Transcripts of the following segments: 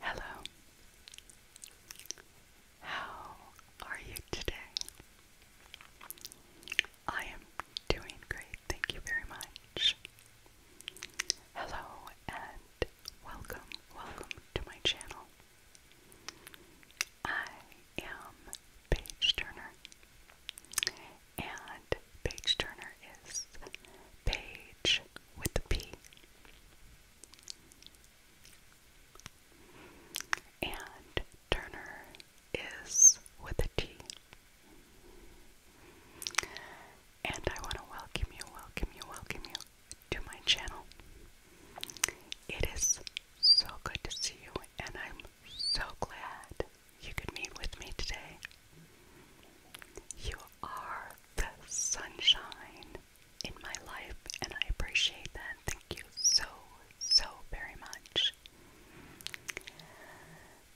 Hello. How are you today? I am doing great, thank you very much. Hello and welcome, welcome to my channel. I am Paige Turner, and page turner is page with the P. And Turner is with the T. And I want to welcome you, welcome you, welcome you to my channel. It is so good to see you, and I'm so glad you could meet with me today. You are the sunshine in my life, and I appreciate that. Thank you so, so very much.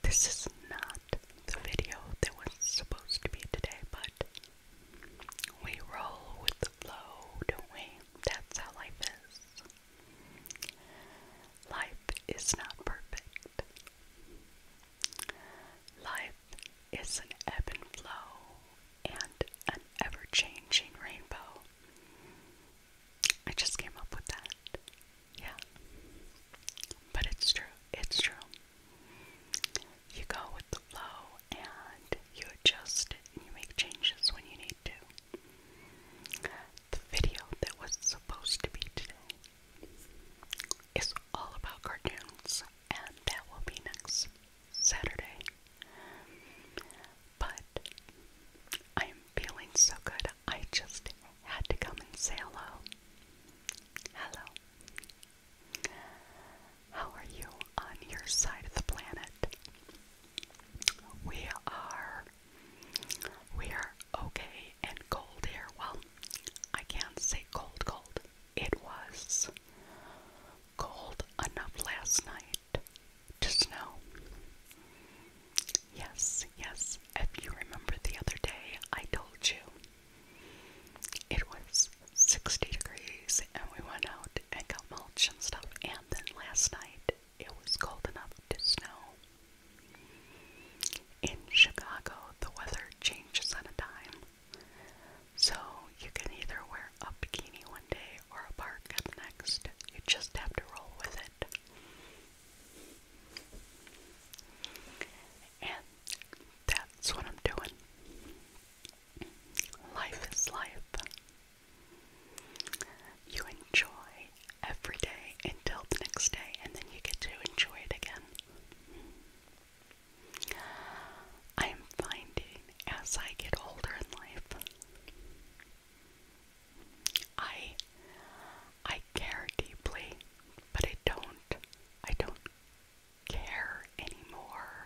This is not the video that was supposed to be today, but we roll with the flow, don't we? That's how life is. Life is not perfect. Life is an ebb and flow and an ever changing rainbow. I just came up with that. Yeah. But it's true. It's true. You go with the flow and you adjust you make changes when you need to. The video that was supposed to be today it's all about cartoons, and that will be next Saturday. But I am feeling so good, I just had to come and say hello. Hello. How are you on your side of the planet? We are. We are okay and cold here. Well, I can't say cold, cold, it was. Cold enough last night to snow. Yes, yes, if you remember the other day, I told you it was 60 degrees and we went out and got mulch and stuff, and then last night it was cold enough to snow. In Chicago, the weather changes at a time. So you can either wear a bikini one day or a park next. You just have to roll with it. And that's what I'm doing. Life is life. You enjoy every day until the next day, and then you get to enjoy it again. I'm finding as I get older in life, I I care deeply, but I don't I don't care anymore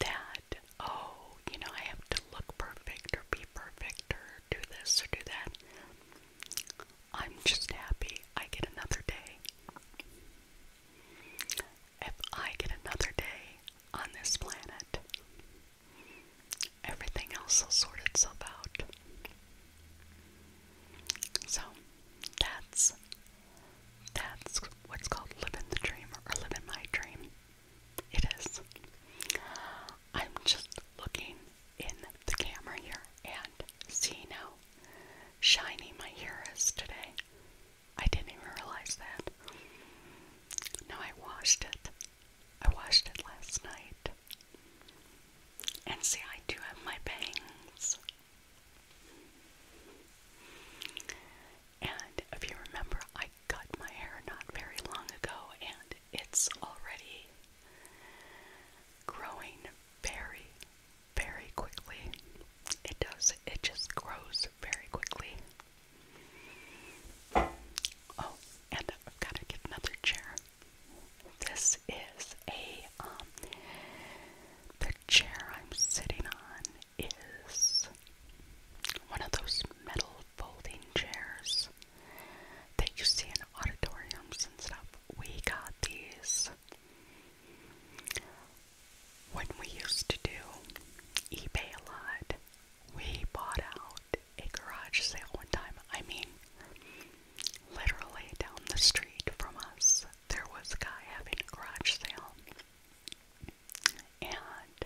that oh, you know, I have to look perfect or be perfect or do this or do that. I'm just happy I get another day. If I get another day on this planet, everything else will sort itself out. So that's that's what's called living the dream or living my dream. It is. I'm just looking in the camera here and seeing how shiny my hair is today. I didn't even realize that. No, I washed it. I washed it last night. And see, I do have my bangs. And if you remember, I cut my hair not very long ago, and it's already growing very, very quickly. It does, it just grows very quickly. Oh, and I've got to get another chair. This is a, um, the chair I'm sitting on is one of those metal folding chairs that you see in auditoriums and stuff. We got these when we used to do eBay a lot, we bought out a garage sale one time. I mean, literally down the street from us, there was a guy having a garage sale. And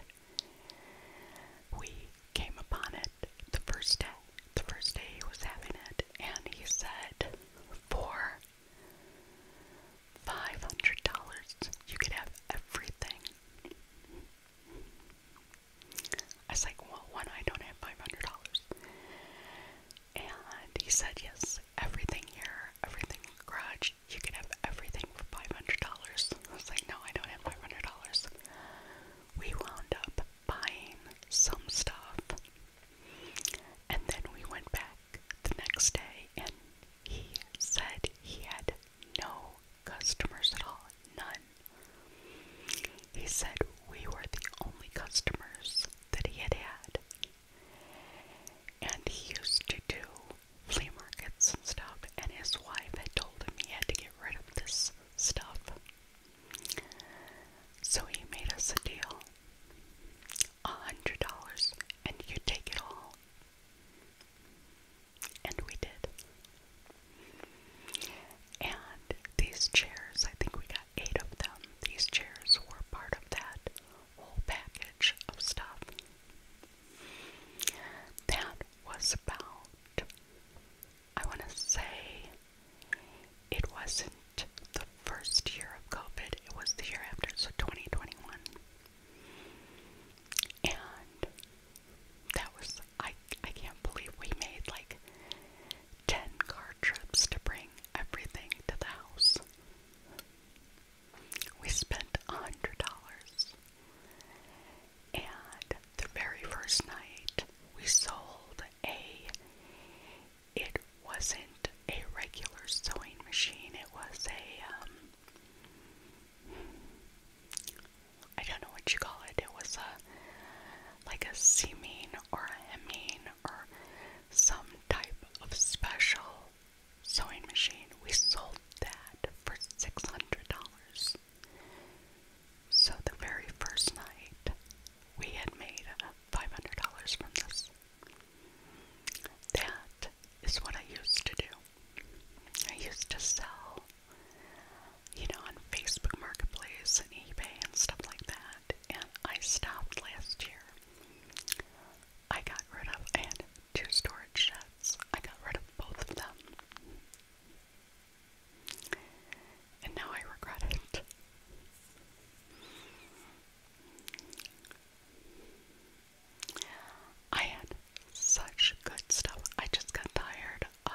we came upon it the first day. The first day he was having it, and he said, for Five hundred dollars, you could have everything. I was like, well, one, I don't have five hundred dollars. And he said, yes, everything here, everything in the garage, you could have everything for five hundred dollars. I was like, no, I don't have five hundred dollars. We wound up buying some stuff and then we went back the next day, and he said he had no customers at all. None. He said we were the only customers that he had had. And he used to do flea markets and stuff, and his wife had told him he had to get rid of this stuff. So he made us a deal a hundred dollars and you take it all. And we did. And these chairs, I think we got eight of them. These chairs were part of that whole package of stuff. That was about, I want to say, it wasn't the first year of COVID, it was the year after, so 2021. And that was, I, I can't believe we made like 10 car trips to bring everything to the house. We spent a $100. And the very first night, we sold a it wasn't a regular sewing machine. It was a, um, don't know what you call it. It was a, like a seaming or hemming or some type of special sewing machine. We sold that for $600. So the very first night, we had made $500 from this. That is what I used to do. I used to sell, you know, on Facebook Marketplace and eBay and stuff like that. And I stopped last year. I got rid of, I had two storage sheds. I got rid of both of them. And now I regret it. I had such good stuff. I just got tired of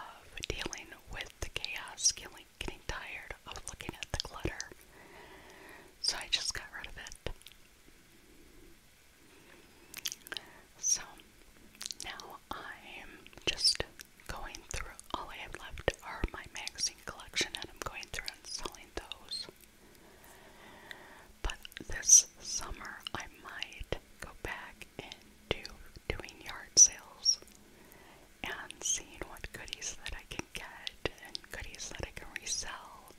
dealing with the chaos, getting, getting tired of looking at the clutter. So I just got rid of it. So now I'm just going through all I have left are my magazine collection and I'm going through and selling those. But this summer, I might go back and doing yard sales and seeing what goodies that I can get and goodies that I can resell.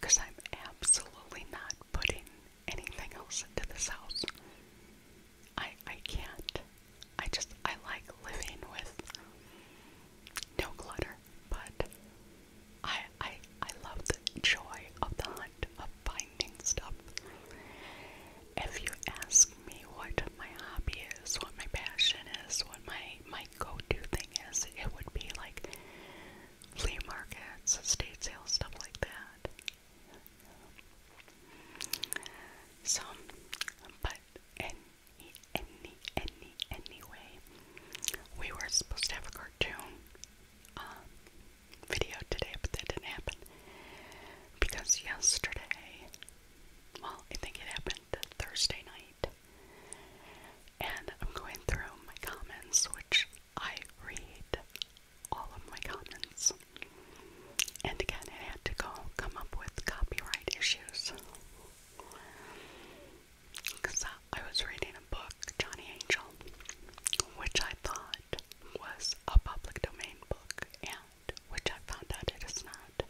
Because I'm absolutely not putting anything else into this house. I I can't. I just I like living with no clutter, but I I I love the joy of the hunt of finding stuff. If you ask me what my hobby is, what my passion is, what my my go-to thing is, it would be like flea markets, estate sales, stuff like that. So, but any, We were supposed to have a cartoon um, video today, but that didn't happen. Because yesterday, well, I think it happened Thursday night, and I'm going through my comments, which I read all of my comments. And again, it had to go come up with copyright issues because I was reading a book, Johnny Angel, which I thought was a public domain book, and which I found out it is not.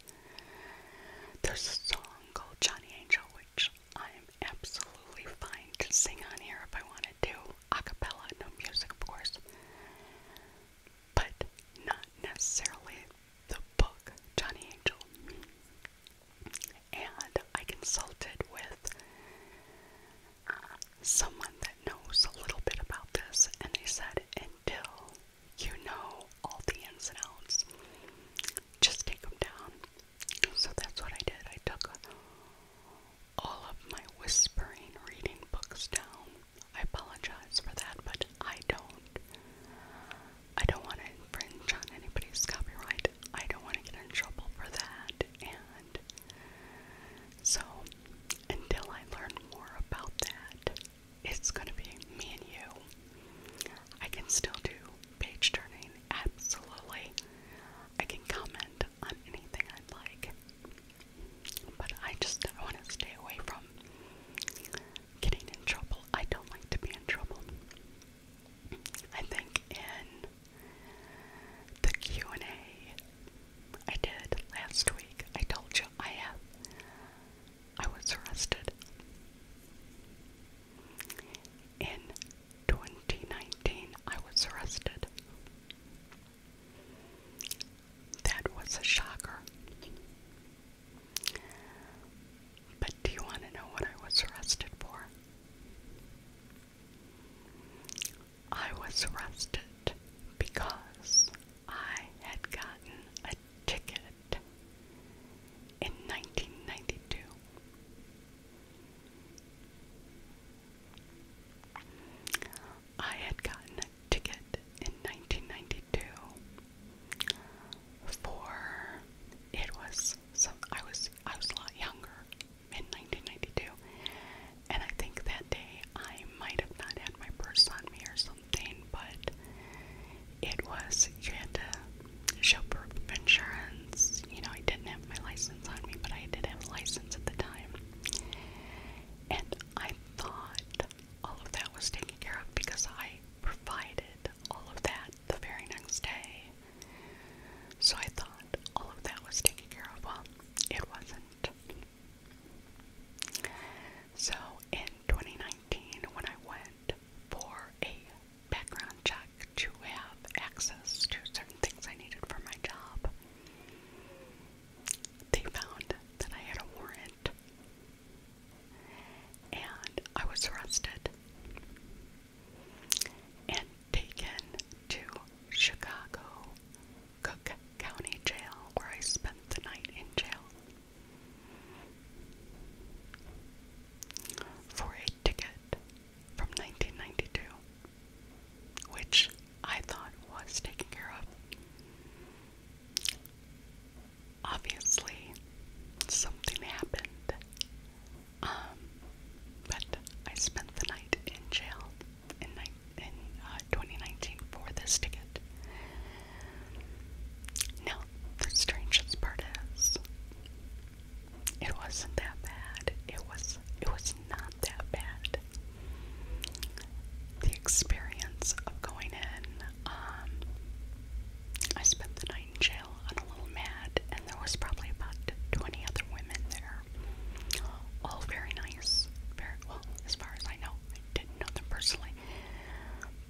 There's a song called Johnny Angel, which I'm absolutely fine to sing on here if I wanted to, a cappella, no music, of course, but not necessarily the book Johnny Angel, and I consulted with uh, someone that knows a little bit about this, and they said, until you know all the ins and outs, just take them down. So that's what I did. I took all of my whispering reading books down. I apologize for that, but I don't. I don't want to infringe on anybody's copyright. I don't want to get in trouble for that. And so, until I learn more about that, it's going to be me and you. I can still do page turning, absolutely. I can comment on anything I'd like. But I just I want to stay away from getting in trouble. I don't like to be in trouble. I think in the Q&A I did last week, I told you I have I was arrested in 2019. I was arrested. That was a shocker. But do you want to know what I was arrested for? I was arrested because I had gotten a ticket in 1992. I had gotten a ticket in 1992 for it was some I was I was a lot younger in 1992, and I think that day I might have not had my purse on me or something, but it was you had to show proof of insurance. You know, I didn't have my license on me, but I did have a license at the time, and I thought all of that was taken care of because I provided all of that the very next day. So I thought all of that was taken care of. Well, it wasn't. So in 2019, when I went for a background check to have access to certain things I needed for my job, they found that I had a warrant and I was arrested and taken to Chicago Cook County Jail, where I spent the night in jail for a ticket from 1992, which I thought was taken care of obviously something happened. Um, but I spent the night in jail in, in uh, 2019 for this ticket. Now, the strangest part is, it wasn't that bad. It was, it was not that bad. The experience of going in, um, I spent the night in jail and a little mad, and there was probably about 20 other women there. All very nice, very well, as far as I know. I didn't know them personally.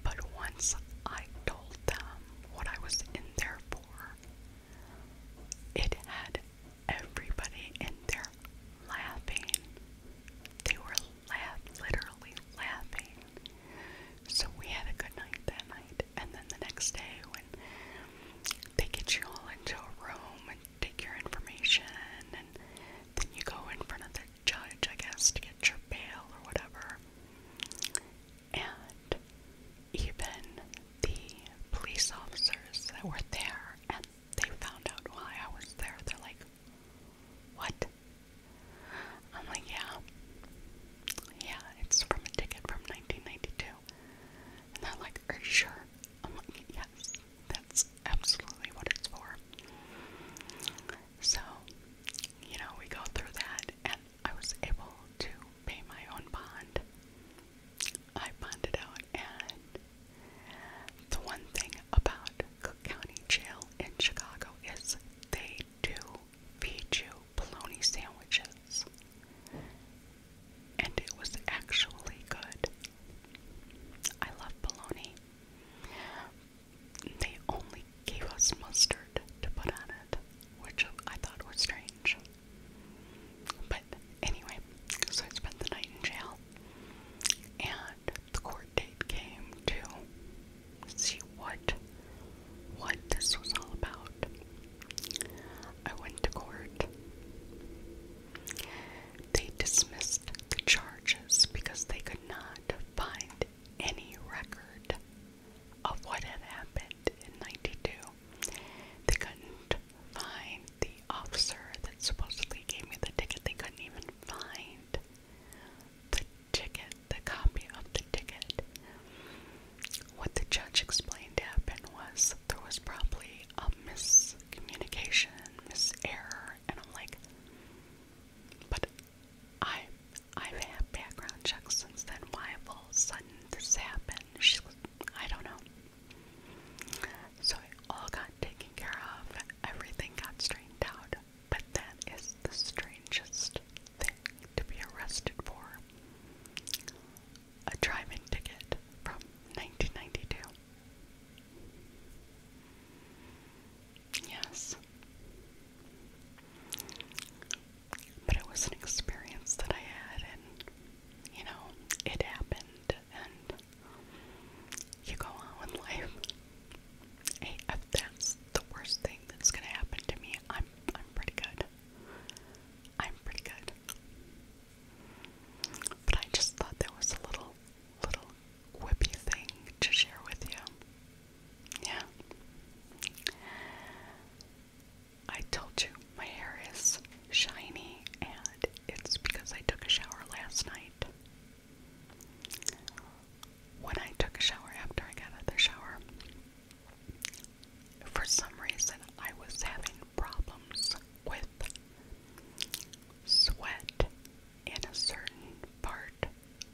But once I told them what I was in there for, it had everybody in there laughing. They were laugh, literally laughing. So we had a good night that night. And then the next day, when they get you all into a room and take your information, and then you go in front of the judge, I guess, to get your bail or whatever. And even the police officers that were there, and they found out why I was there, they're like, What? I'm like, yeah. Yeah, it's from a ticket from 1992. And they're like, are you sure? I'm like, yes, that's absolutely what it's for. So, you know, we go through that, and I was able to pay my own bond. I bonded out, and the one thing about Cook County Jail in Chicago is they do Pichu bologna sandwiches, and it was actually good. I love bologna. They only gave us mustard to put on it, which I thought was strange. But anyway, so I spent the night in jail, and the court date came to see what what this was all about. I went to court. They dismissed the charges because they could not find any record of what had happened in 92. They couldn't find the officer that supposedly gave me the ticket. They couldn't even find the ticket, the copy of the ticket. What the judge explained happened was there was probably a miscommunication, miserror, and I'm like, but I, I've had background checks since then. Why all of a sudden this happened? I don't know. So it all got taken care of. Everything got straightened out. But that is the strangest thing to be arrested for a driving ticket from 1992. Yes. But it was an experience that I had, and you know, it happened, and you go on with life. Hey, that's the worst thing that's gonna happen to me, I'm I'm pretty good. I'm pretty good. But I just thought that was a little little whippy thing to share with you. Yeah. I told you my hair is shiny and it's because I took a shower last night. When I took a shower after I got out the shower, for some reason, I was having problems with sweat in a certain part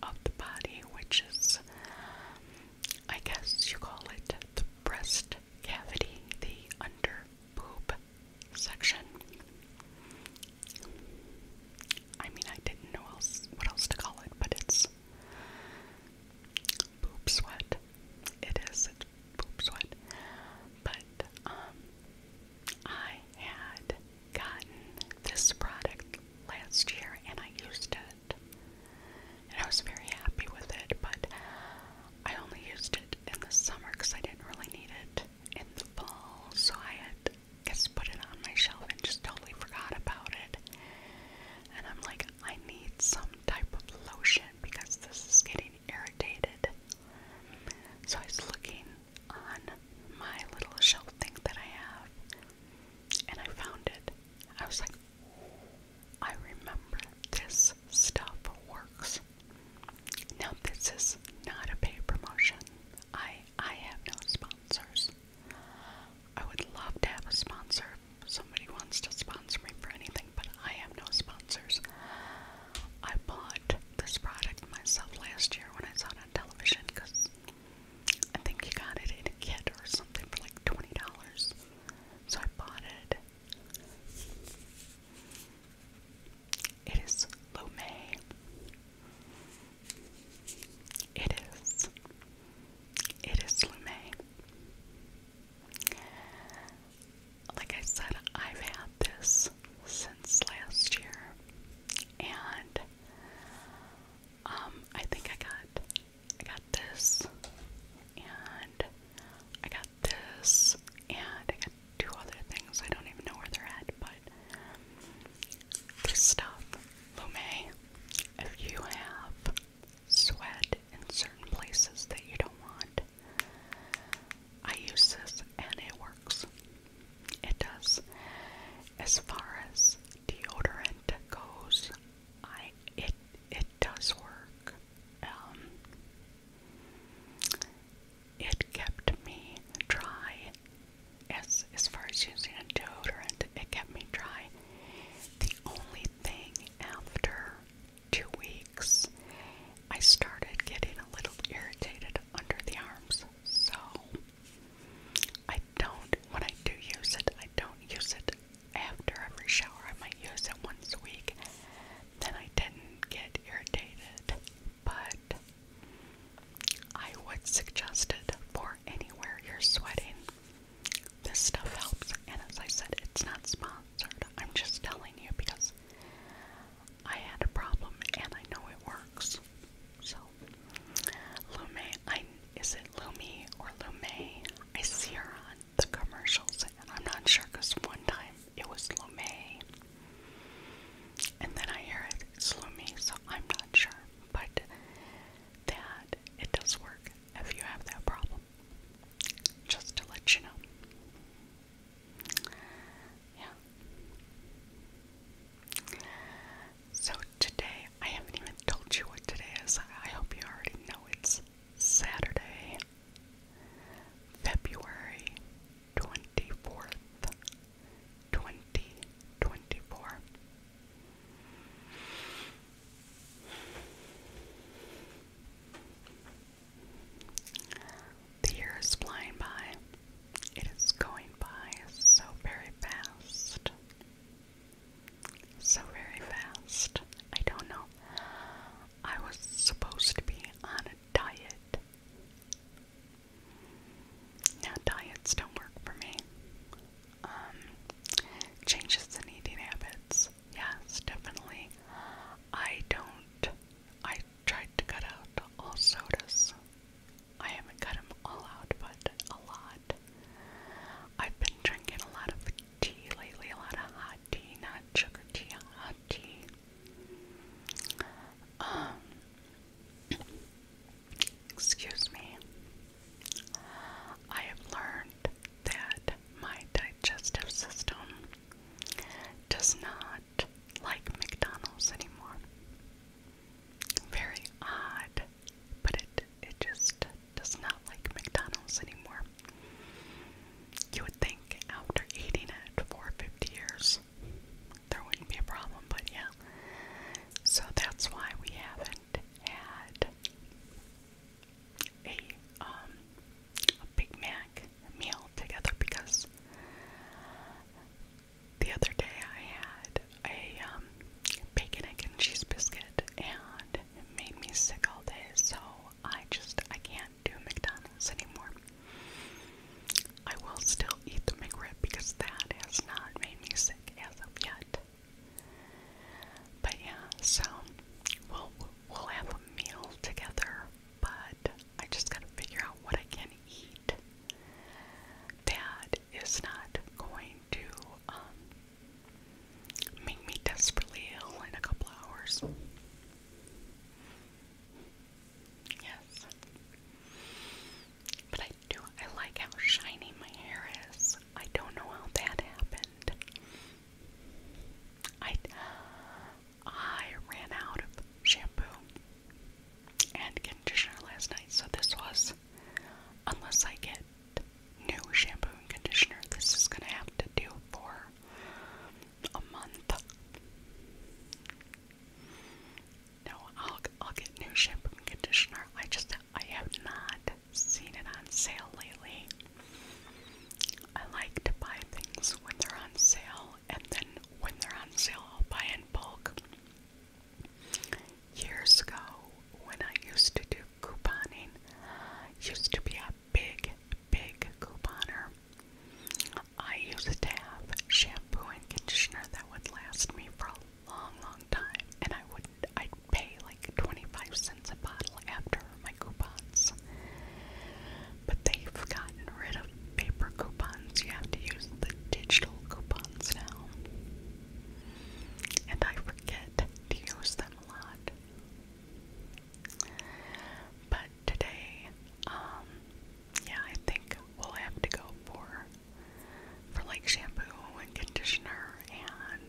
of the body, which is, I guess you call it the breast cavity, the under boob section. I mean, I didn't know else what else to call it, but it's poop sweat. It is it's poop sweat. But um I had gotten this product last year and I used it. And I was very happy with it, but I only used it in the summer because I didn't really need it in the fall. So I had just put it on my shelf and just totally forgot about it. And I'm like, I need some type of lotion because this is getting irritated. So I was looking on my little shelf thing that I have and I found it. I was like, I remember this stuff works. Now this is not a paid promotion. I I have no sponsors. I would love to have a sponsor. If somebody wants to sponsor me for anything, but I have no sponsors. I bought this product myself last year when I saw it on television because I think you got it in a kit or something for like $20. So I bought it. It is Lume. It is. It is Lumet. Like I said, I've had this since last year, and um, I think I got I got this, and I got this, and I got two other things. I don't even know where they're at, but this stuff, Lume, if you have sweat in certain places that you don't want, I use this and it works. It does. As far as deodorant goes, I it it does work. Um, it kept me dry. As as far as using a deodorant, it kept me dry the only thing after two weeks, I started getting a little irritated under the arms. So I don't, when I do use it, I don't use it after every shower. I might use it once a week. Then I didn't get irritated, but I would suggest it for anywhere you're sweating this stuff helps. And as I said, it's not sponsored. I'm just telling you because I had a problem and I know it works. So, Lume, I, is it Lumi or Lume? I see her on the commercials and I'm not sure because one time it was Lume. And then I hear it, it's Lumi, so I'm not sure. But that it does work if you have that problem. Just to let you know. Yeah. So today, I haven't even told you what today is. I hope you already know it's Saturday, February 24th, 2024. The year is flying by. It is going by so very fast. So very fast. I don't know. I was supposed to be on a diet. Now, diets don't work for me. Um, changes in eating habits. Yes, definitely. I don't. I tried to cut out all sodas. I haven't cut them all out, but a lot. I've been drinking a lot of tea lately, a lot of hot tea, not sugar tea, hot tea. Um, Excuse me. I have learned that my digestive system does not like McDonald's anymore. Very odd, but it it just does not like McDonald's anymore. You would think after eating it for 50 years, there wouldn't be a problem, but yeah. So that's why we have had a um a Big Mac meal together because the other day I had a um bacon egg and cheese biscuit and it made me sick all day so I just I can't do McDonald's anymore. I will still eat the McRib because that has not made me sick as of yet. But yeah, so we'll we'll have a meal together, but I just gotta figure out what I can eat. That is not going to um, make me desperately ill in a couple hours. Yes. But I do. I like how shiny my hair is. I don't know how that happened. I I ran out of shampoo and conditioner last night, so this was unless I get new shampoo and conditioner, this is gonna have to do for a month. No, I'll I'll get new shampoo and conditioner. I just I have not seen it on sale lately. I like to buy things when they're on sale, and then when they're on sale, I'll buy in bulk. Years ago, when I used to do couponing, used to be a big, big couponer. I used to have shampoo and conditioner that would last me for long, long time, and I would I'd pay like 25 cents a bottle after my coupons. But they've gotten rid of paper coupons. You have to use the digital coupons now. And I forget to use them a lot. But today, um, yeah, I think we'll have to go for for like shampoo and conditioner and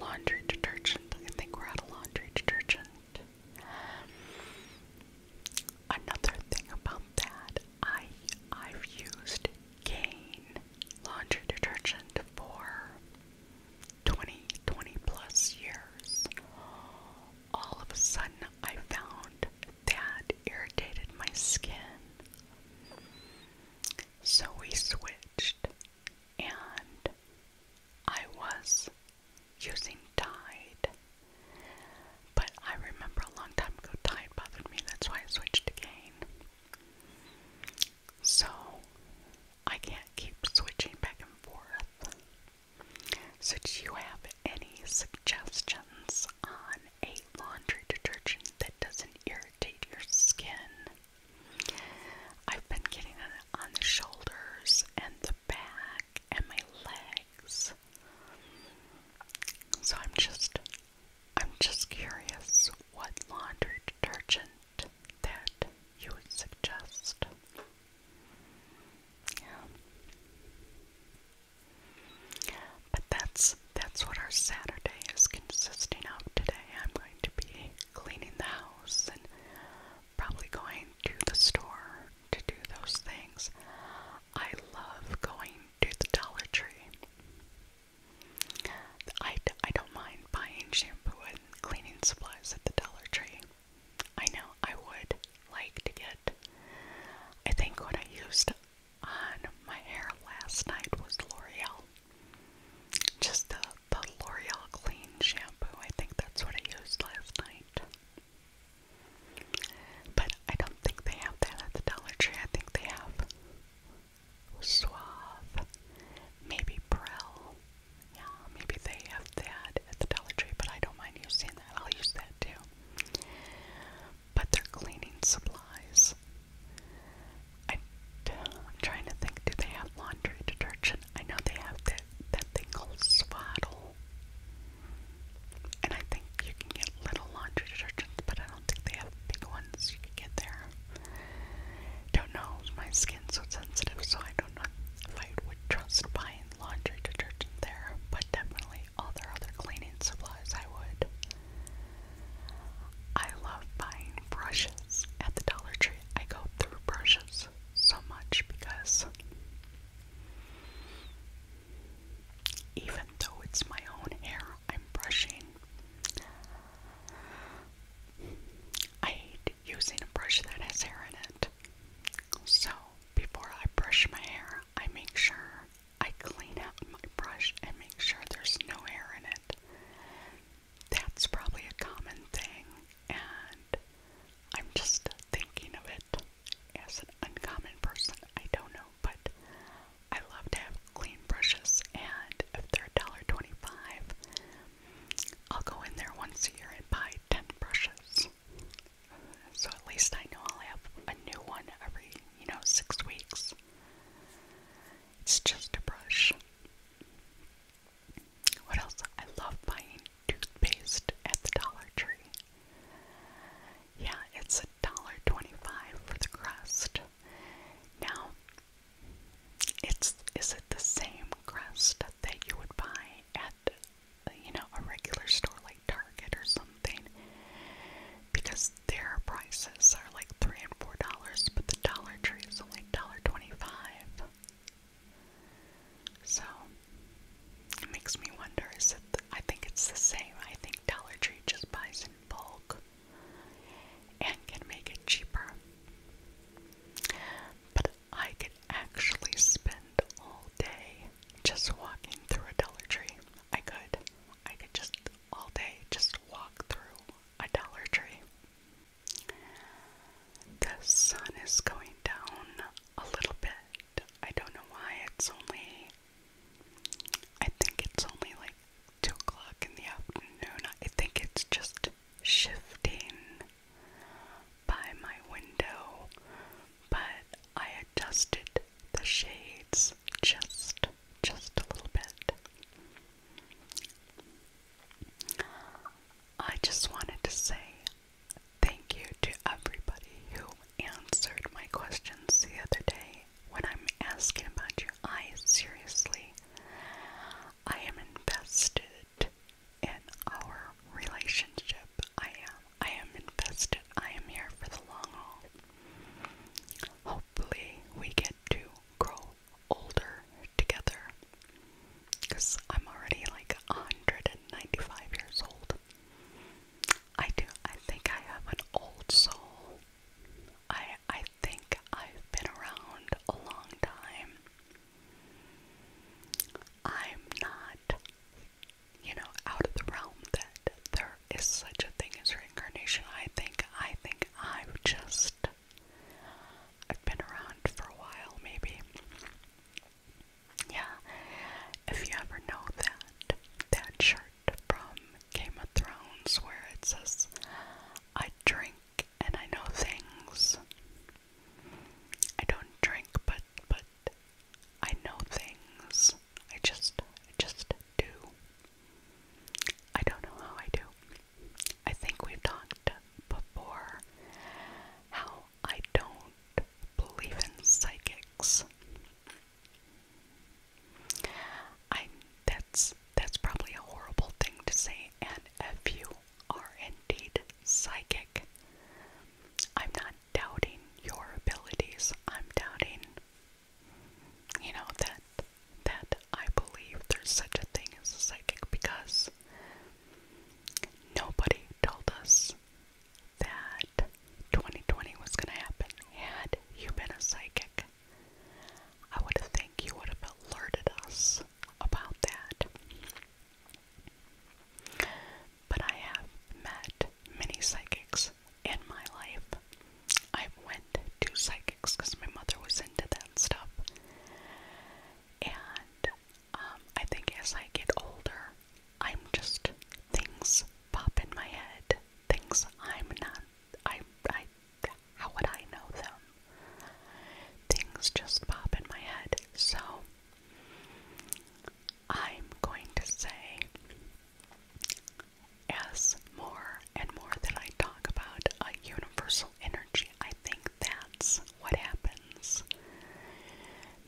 laundry detergent. I think we're out of laundry detergent. Another thing about that, I I've used Gain laundry detergent for 20, plus years. All of a sudden, I found that irritated my skin. So we switched and I was using Tide. But I remember a long time ago Tide bothered me, that's why I switched to So I can't keep switching back and forth. So, do you have any suggestions on a laundry detergent that doesn't irritate your skin? I've been getting it on the shoulders and the back and my legs. So I'm just I'm just curious what laundry detergent that you would suggest. Yeah. But that's that's what our Saturday is consisting of today. I'm to be cleaning the house and probably going to the store to do those things. I love going to the Dollar Tree. I, I don't mind buying shampoo and cleaning supplies at the Dollar Tree. I know I would like to get. I think what I used on my hair last night was L'Oreal. Just the, the L'Oreal Clean shampoo. I think that's what I used last night. But I don't think they have that at the Dollar Tree. I think they have Suave, maybe Prel. Yeah, maybe they have that at the Dollar Tree, but I don't mind using that. I'll use that too. But their cleaning supplies I, am trying to think, do they have laundry detergent? I know they have that, that thing called Swaddle. And I think you can get little laundry detergents, but I don't think they have big ones you can get there. Don't know, my skin's so sensitive, so I don't know if I would trust buying laundry detergent there, but definitely all their other cleaning supplies I would. I love buying brushes at the Dollar Tree. I go through brushes so much because even though it's my own hair I'm brushing, I hate using a brush that has hair in it. So before I brush my hair, I make sure I clean out my brush and make sure there's no hair in it that's probably a common thing, and I'm just thinking of it as an uncommon person. I don't know, but I love to have clean brushes, and if they're $1.25, I'll go in there once a year and buy 10 brushes. So at least I know I'll have a new one every, you know, six weeks. It's just a brush. What else? I love buying toothpaste at the Dollar Tree. Yeah, it's a dollar twenty-five for the crest. Now, it's is it the same crest that you would buy at you know a regular store like Target or something? Because their prices are like three and four dollars, but the Dollar Tree is only dollar twenty-five. So it makes me wonder. Is it? I think it's the same. I think Dollar Tree just buys in bulk and can make it cheaper. But I could actually spend all day just walking through a Dollar Tree. I could. I could just all day just walk through a Dollar Tree. The sun is going down a little bit. I don't know why. It's only, I think it's only like 2 o'clock in the afternoon. I think it's just shifting by my window, but I adjusted the shades just just a little bit. I just wanted to say thank you to everybody who answered my questions the other day when I'm asking about your eyes. Seriously, I am invested in our relationship. I am. I am invested. I am here for the long haul. Hopefully, we get to grow older together because I'm already like 195 years old. I do. I think I have an old soul. I I think I've been around a long time. I'm not, you know, out of the realm that there is such a thing as reincarnation. I think I think i am just I've been around for a while, maybe. Yeah, if you ever know that, that shirt from Game of Thrones where it says, I drink and I know things. I don't drink, but, but I know things. I just, just do. I don't know how I do. I think we've talked before how I don't believe in psychics. I that's that's probably a horrible thing to say and if you are indeed psychic, I'm not doubting your abilities. I'm doubting you know that that I believe there's such a thing as a psychic because nobody told us that 2020 was going to happen. Had you been a psychic, I would think you would have alerted us about that. But I have met many psychics in my life. I went to psychics because my mother was into that stuff. And um, I think as I get older, I'm just things pop in my head. Things I'm not. I. I. How would I know them? Things just pop in my head. So I'm going to say, as more and more that I talk about a universal energy. I think that's what happens.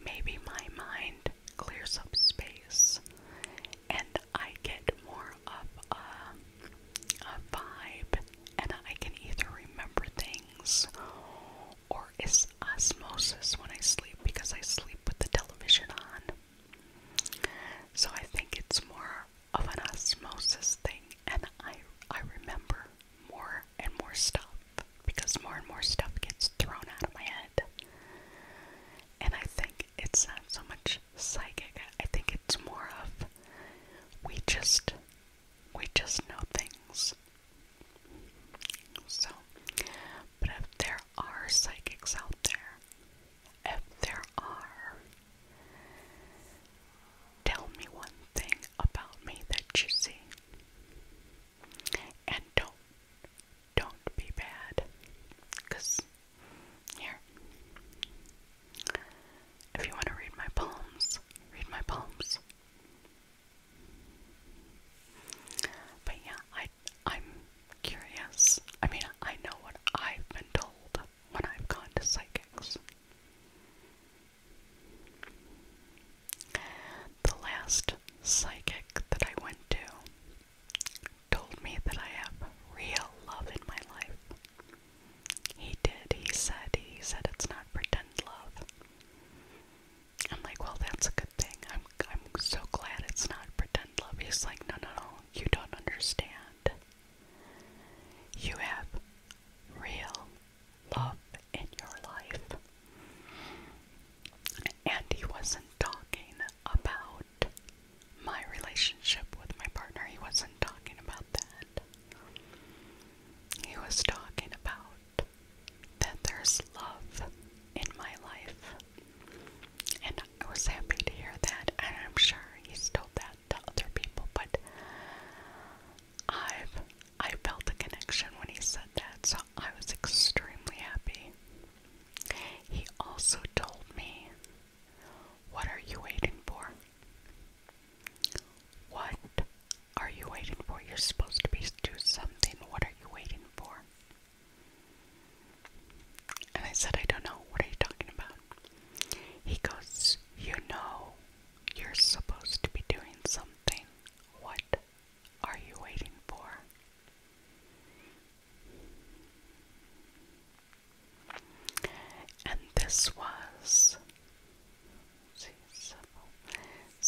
Maybe my mind clears up space and I get more of a vibe and I can either remember things or it's osmosis when I sleep because I sleep with the television on. So I think it's more of an osmosis thing, and I I remember more and more stuff because more and more stuff gets thrown out of my head. And I think it's not so much psychic. I think it's more of we just we just know things. So, but if there are psychics out there, if there are, Tell me one thing about me that you see. And don't don't be bad. Cause here. If you want to read my poems, read my poems. But yeah, I I'm curious. I mean, I know what I've been told when I've gone to psychics. The last psychic that I went to told me that I have real love in my life. He did. He said, he said it's not pretend love. I'm like, well, that's a good thing. I'm, I'm so glad it's not pretend love. He's like, no, no, no, you don't understand. You have real love in your life. And he wasn't talking about my relationship with my partner, he wasn't talking about that. He was talking about that there's love in my life. And I was happy to hear that, and I'm sure he's told that to other people, but I've I felt a connection when he said that, so I was extremely happy. He also told me, What are you waiting for? What are you waiting for? You're supposed to be do something. What are you waiting for? And I said, I don't know. What are you talking about? He goes, You know you're supposed to be doing something. What are you waiting for? And this was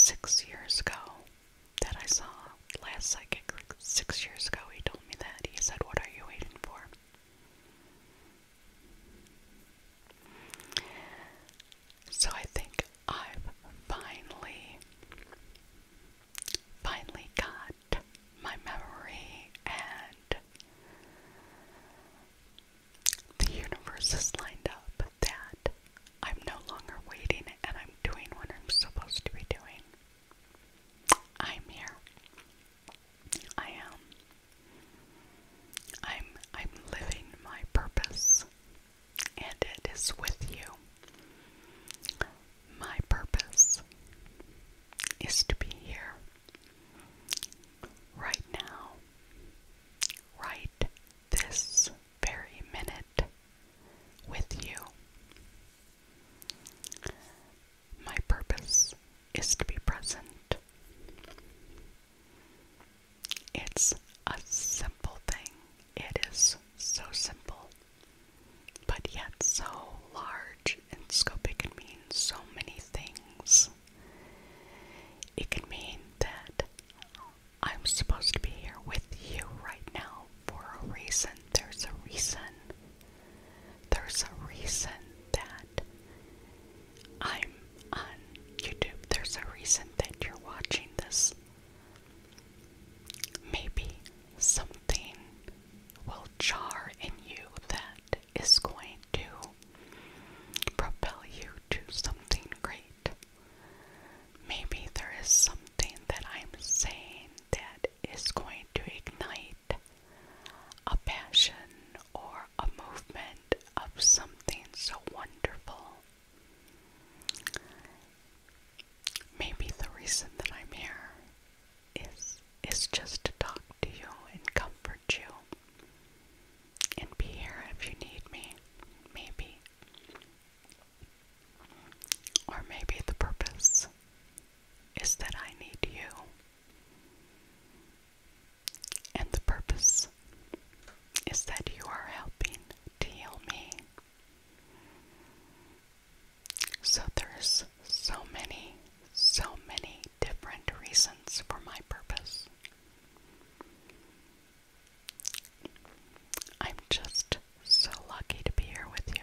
six years ago that I saw last psychic. Six years ago, he told me that. He said, What are you waiting for? So I think I've finally, finally got my memory and the universe is lined up that I'm no longer waiting and I'm doing what I'm supposed to be doing. I'm here. I am. I'm I'm living my purpose and it is with you. My purpose is to be here right now. Right this very minute with you. My purpose is to be present. It's a simple thing. It is so simple, but yet so large and scope. It can mean so many things. It can mean that I'm supposed to be here with you right now for a reason. There's a reason. There's a reason that I'm on YouTube. There's a reason that you're watching this. Maybe something will jar in you that is going to propel you to something great. Maybe there is something that I'm saying that is going to ignite a passion or a movement of something so wonderful. Maybe the reason that I'm here is is just to talk to you and comfort you and be here if you need me, maybe. Or maybe the purpose is that I need you and the purpose is that you are helping to heal me. So there's so many, so many different reasons for my purpose. I'm just so lucky to be here with you.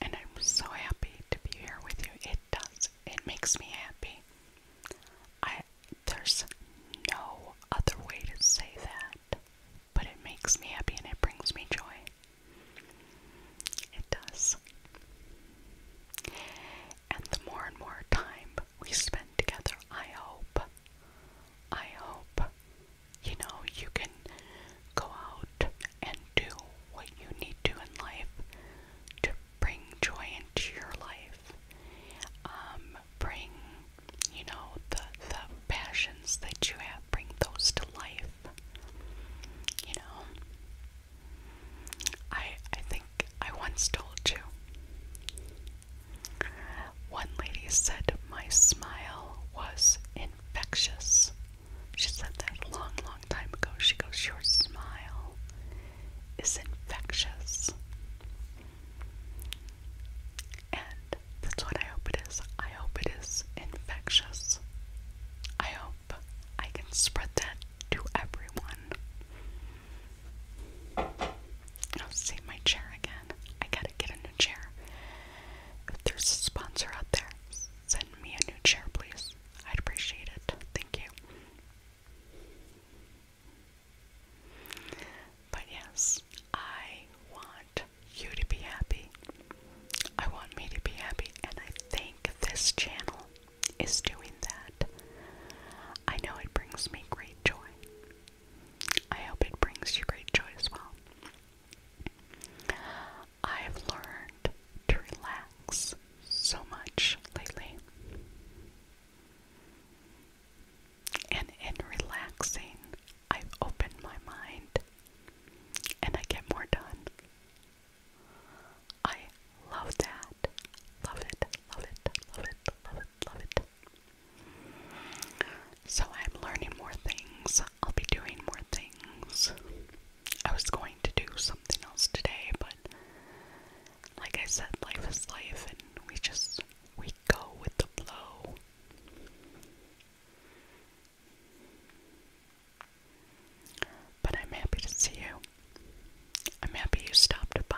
And I'm so happy to be here with you. It does. It makes me happy. I there's no other way to say that, but it makes me happy and it brings me joy. It does. And the more and more time we spend together, I hope, I hope, you know, you can go out and do what you need to in life to bring joy into your life. Um, bring, you know, the the passions that you have, bring those to life. You know. I I think I once told you. One lady said my smile was infectious. She said that long, long time ago. She goes, Your smile is infectious. And that's what I hope it is. I hope it is infectious. I hope I can spread that to everyone. I'll save my chair again. I gotta get a new chair. If there's a sponsor out there, send me a new chair, please. I'd appreciate it. Thank you. But yes, I want you to be happy. I want me to be happy, and I think this channel is doing that. I know it brings me great joy. I hope it brings you great joy as well. I have learned to relax so much lately. And in relaxing, I've opened my mind and I get more done. I love that. Love it, love it, love it, love it, love it. So I'm learning more things. I'll be doing more things. I was going to do something else today, but like I said, life is life, and we just we go with the flow. But I'm happy to see you. I'm happy you stopped by.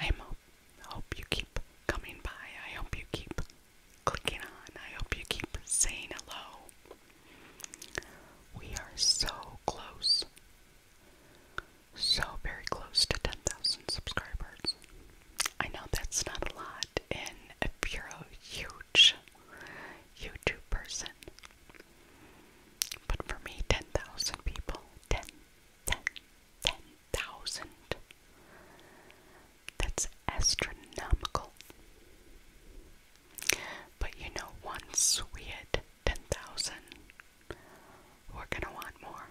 I hope you keep coming by. I hope you keep clicking on. I hope you keep saying hello. We are so close. So very close to 10,000 subscribers. I know that's not a lot, and if you huge YouTube person, but for me, 10,000 people, 10, that's astronomical. But you know, once we hit 10,000, we're gonna want more.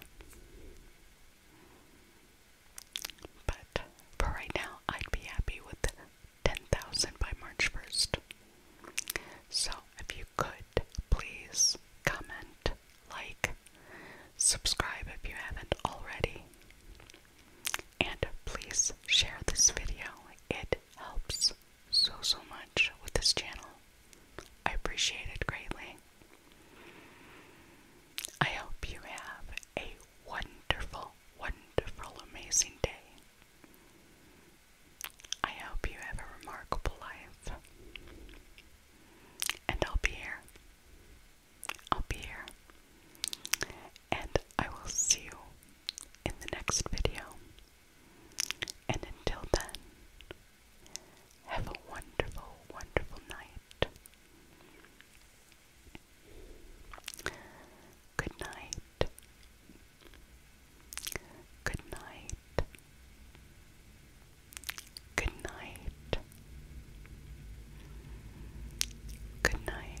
But for right now, I'd be happy with 10,000 by March 1st. So if you could, please comment, like, subscribe if you haven't already, and please share this video. It helps so, so much with this channel. I appreciate it greatly. I hope you have a wonderful, wonderful, amazing day. I hope you have a remarkable life. And I'll be here. I'll be here. And I will see you in the next video. And until then, have a wonderful, wonderful night. Good night. Good night. Good night. Good night.